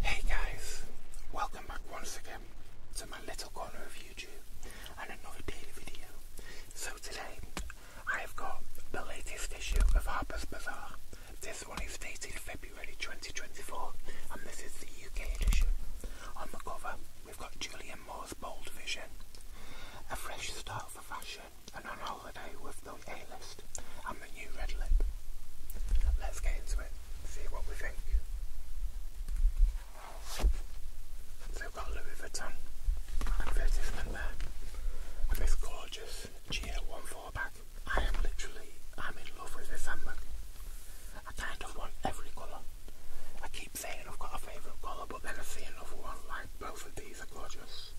Hey guys, welcome back once again to my little corner of YouTube and another daily video. So today I have got the latest issue of Harper's Bazaar. This one is dated February 2024 and this is the UK edition. On the cover we've got Julian Moore's Bold Vision, A Fresh style for Fashion, and On Holiday with the A-List, and The New Red Lip. Let's get into it, see what we think. So we've got Louis Vuitton advertisement there, and this gorgeous GA14 bag. I am literally, I'm in love with this handbag. I kind of want every colour. I saying I've got a favourite colour, but then I see another one, like both of these are gorgeous,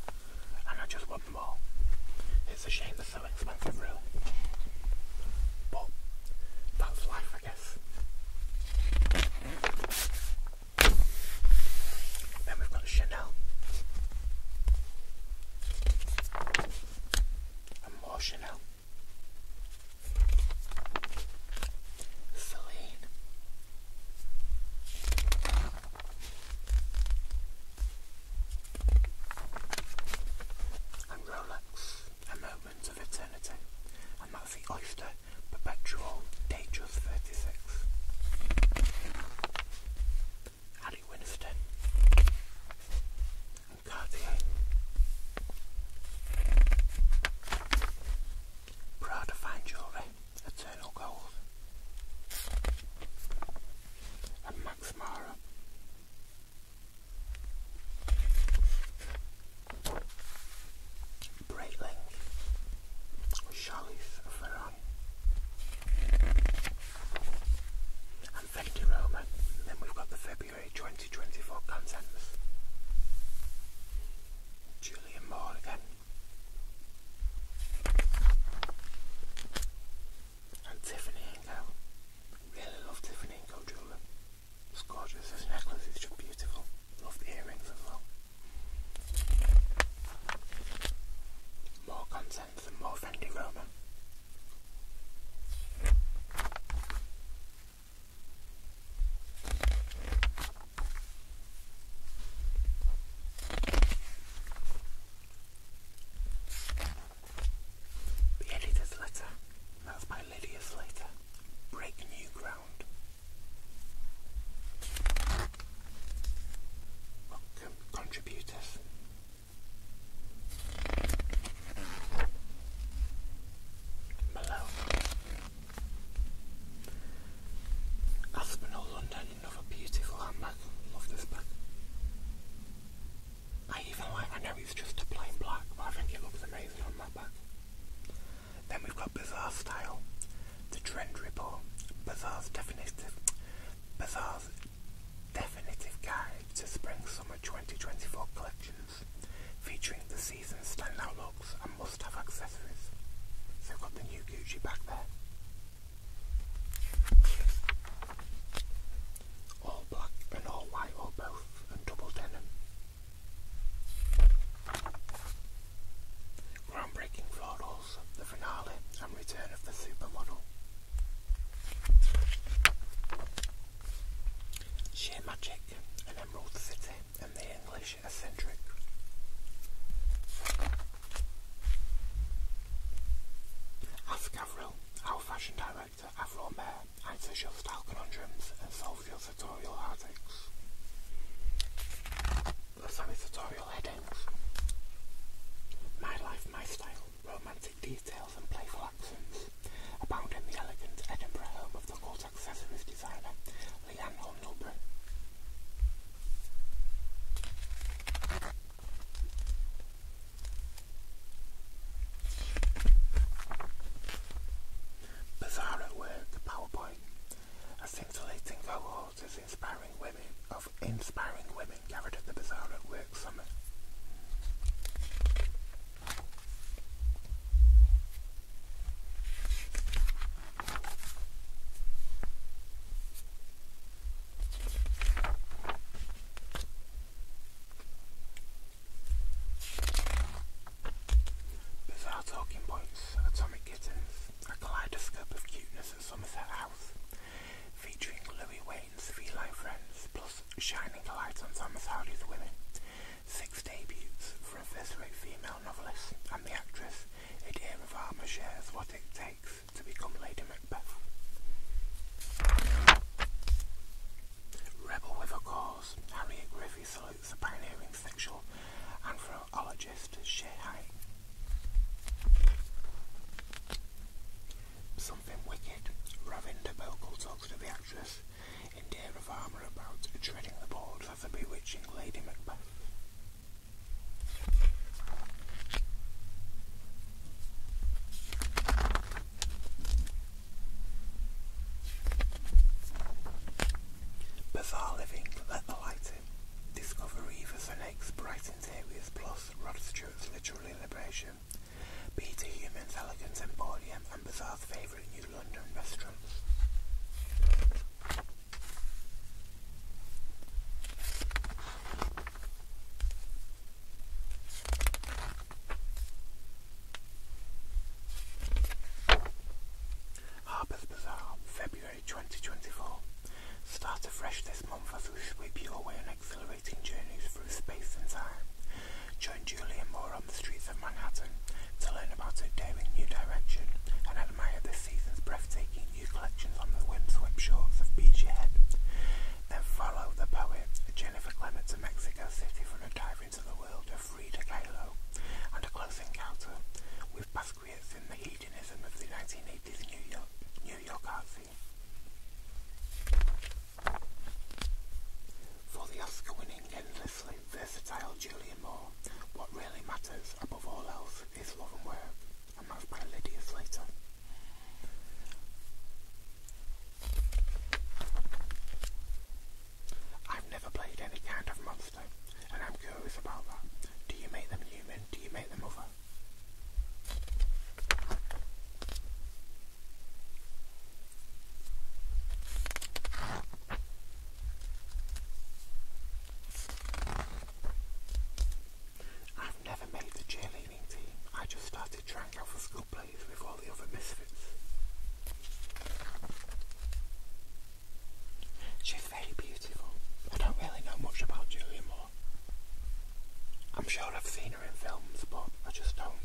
and I just want them It's a shame they're so expensive, really. But that's life, I guess. Then we've got Chanel. And more Chanel. Celine. And Rolex, a moment of eternity. And that's the Oyster Perpetual Datejust 36. Harry Winston. And Cartier. Proud to find jewellery, eternal gold. And Max Mara. Breitling. Charlize Ferron. And Fenty Roma. then we've got the February January 2024 contents. Julian Moore again. And Tiffany Ingo. Really love Tiffany Ingo jewellery. It's gorgeous. This necklace is just beautiful. Love the earrings as well. More contents and more Fendi Roma. The editor's letter. That's by Lydia's letter. Break new ground. Welcome, contributors. Malone. Aspinall, London, another beautiful handbag. Love this bag. I even like, I know it's just a plain black, but I think it looks amazing on that bag. Then we've got Bazaar Style, the Trend Report, Bazaar's Definitive, Bazaar's Definitive Guide to Spring Summer 2024 Collections, featuring the season's standout looks and must-have accessories. So have got the new Gucci back there. All black and all white or both and double denim. Groundbreaking florals, the finale and return of the supermodel. Sheer magic, an emerald city, and the English eccentric. Ask Avril, our fashion director, Avril Mayer, answers your style conundrums and solves your tutorial headaches. Sorry, tutorial headaches. My life, my style romantic details and playful accents abound in the elegant Edinburgh home of the cult accessories designer Leanne Hornelbury. Bizarre at work, PowerPoint. A scintillating cohort is inspiring women of inspiring women gathered at the Bazaar at Work Summit. Bizarre talking points, atomic kittens, a kaleidoscope of cuteness at Somerset House, featuring Louis Wayne's three Feline Friends, plus shining lights light on Thomas Hardy's Women, six debuts from a first-rate female novelist and the actress Idea of Armour shares what it takes to become Lady Macbeth. Rebel with a Cause, Harriet Griffey salutes the pioneering sexual anthropologist Shea Something wicked. Ravinda Bokal talks to the actress Indira Varma about treading the boards for the bewitching Lady Macbeth. Bizarre living, let the light in. Discover Eva and eggs, Brighton's plus Rod nature of literal be to humans elegant emporium and bazaar's favourite New London restaurant. Harper's Bazaar, February 2024. Start afresh this month as we sweep you away on exhilarating journeys through space and time. Join Julian Moore on the streets of Manhattan to learn about a daring new direction and admire this season's breathtaking new collections on the windswept shores of Beachy Head. Then follow the poet Jennifer Clements to Mexico City for a dive into the world of Frida Kahlo and a close encounter with Pascal for the Oscar-winning, endlessly versatile Julia Moore, what really matters, above all else, is love and work, and that's by Lydia Slater. I've never played any kind of monster, and I'm curious about that. Do you make them human? Do you make them other? I've never made the cheerleading team. I just started trying out for school plays with all the other misfits. She's very beautiful. I don't really know much about Julia Moore. I'm sure I've seen her in films, but I just don't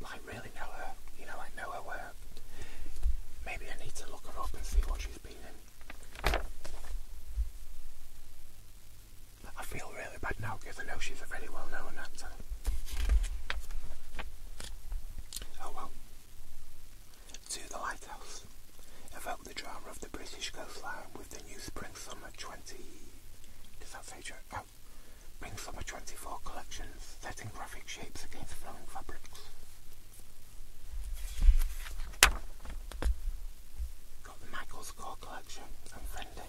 like really know her. You know, I know her work. Maybe I need to look her up and see what she's been in. I feel really bad now because I know she's a very well known actor. Oh well to the lighthouse, evoke the drama of the British coastline with the new Spring Summer 20. Does that say oh, Spring Summer 24 collections, setting graphic shapes against flowing fabrics. Got the Michael's Core collection and Fendi.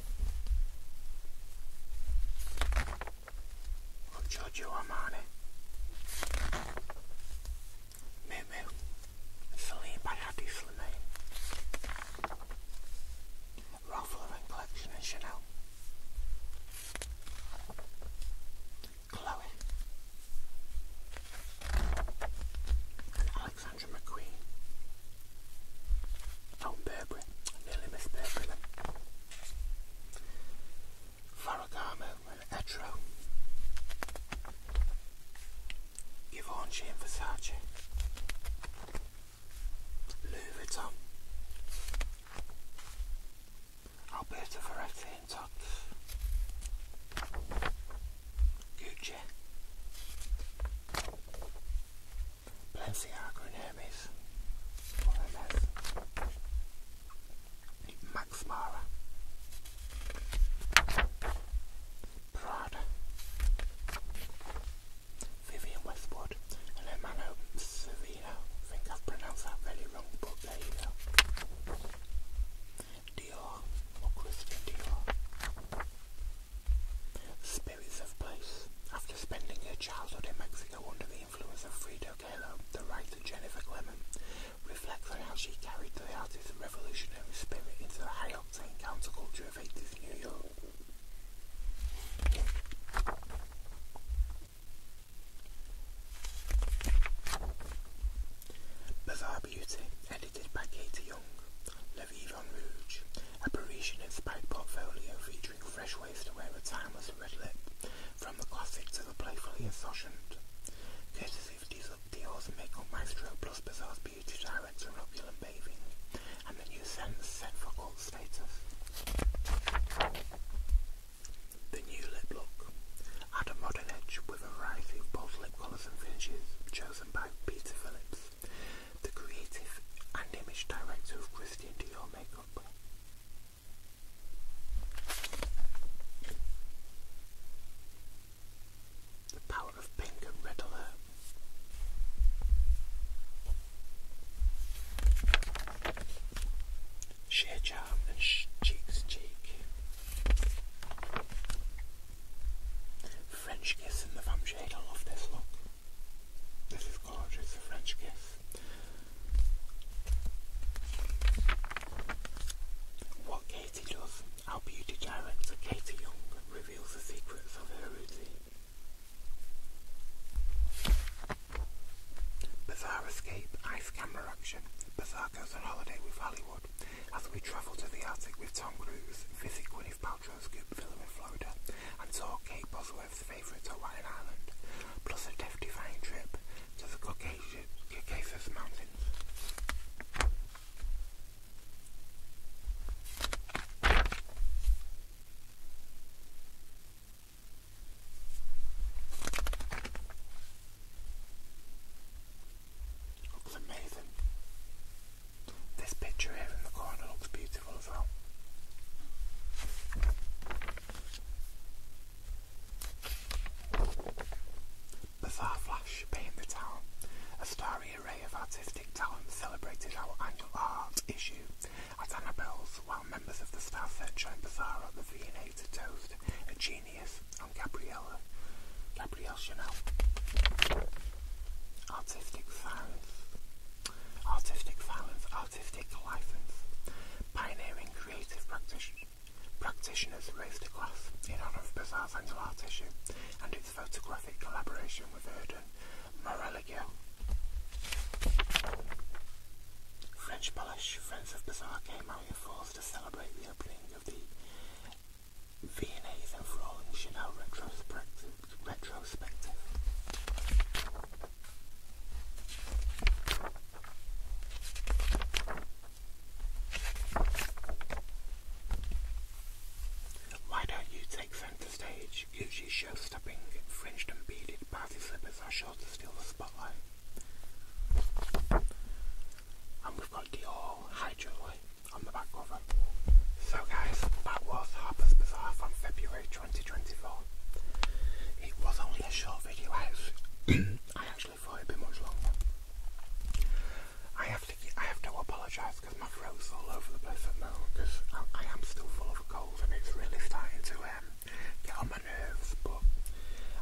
Got Giorgio Armani. Moo Moo, Celine by Hadi Slimane, Ralph Lauren Collection Chanel, Chloe, Alexandra McQueen, Tom Burberry, nearly Miss Burberry, Farragamo and Etro. Givenchy and Versace. Louis Vuitton. Alberto Ferretti and Tots. Gucci. Balenciaga and Max Mara, Prada, Vivian Westwood, and her man Savino. I think I've pronounced that really wrong, but there you go. Dior, or Christian Dior. Spirits of Place. After spending her childhood in Mexico under the influence of Frida Kahlo, the writer Jennifer Clement reflects on how she carried the artist's revolutionary spirit into the high-octane counterculture of 80s New York. Bizarre Beauty, edited by Katie Young. La Vie Rouge, a parisian portfolio featuring fresh ways to wear a timeless red lip, from the classic to the playfully insouciant. Courtesy of Dior's makeup maestro plus Bazaar's beauty director Roculum Bathing, and the new scent set for cult status. The new lip look. Add a modern edge with a variety of bold lip colours and finishes, chosen by Peter Phillips, the creative and image director of Christian Dior Makeup. The power of pink and red Sheer charm and cheeks cheek. French kiss in the shade. I love this look. This is gorgeous, French kiss. What Katie does, our beauty director Katie Young reveals the secrets of her routine. Bizarre escape, ice camera action. Bizarre goes on holiday with Hollywood as we travel to the Arctic with Tom Cruise, visit Gwyneth Paltrow's Goop Villa in and talk Kate Boswell. Of Wordsworth's favourite Hawaiian island, plus a death-defying trip to the Caucasus, Caucasus Mountains. Looks amazing. This picture here in the corner looks beautiful beautiful Flash paint the town. A starry array of artistic talent celebrated our annual art issue at Annabelle's, while members of the staff Searcher and Bazaar at the V&A to toast a genius on Gabriella, Gabrielle Chanel. Artistic Cyrus artistic violence, artistic license. Pioneering creative practitioners practitioners raised a glass in honour of Bazaar's annual art issue and its photographic collaboration with Erden Moreligill. French polish friends of Bazaar came out in force to celebrate the opening of the Viennese and Frolling Chanel retrospective retrospective. Why don't you take centre stage? Usually show-stopping, fringed and beaded party slippers are sure to steal the spotlight. And we've got Dior Hydro on the back cover. So guys, that was Harper's Bazaar from February 2024. It was only a short video, I actually thought it'd be much longer. I have to, I have to apologise because my throat's all over the place at the moment because I, am still full of a cold and it's really starting to um, get on my nerves. But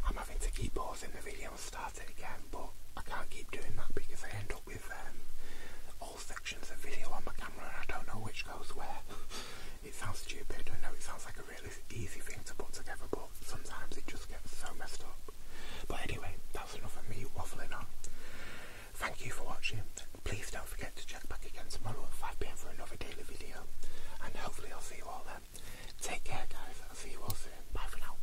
I'm having to keep pausing the video and start it again. But I can't keep doing that because I end up with um, sections of video on my camera and I don't know which goes where. it sounds stupid, I know it sounds like a really easy thing to put together, but sometimes it just gets so messed up. But anyway, that's enough of me waffling on. Thank you for watching. Please don't forget to check back again tomorrow at 5pm for another daily video. And hopefully I'll see you all there. Take care guys, I'll see you all soon. Bye for now.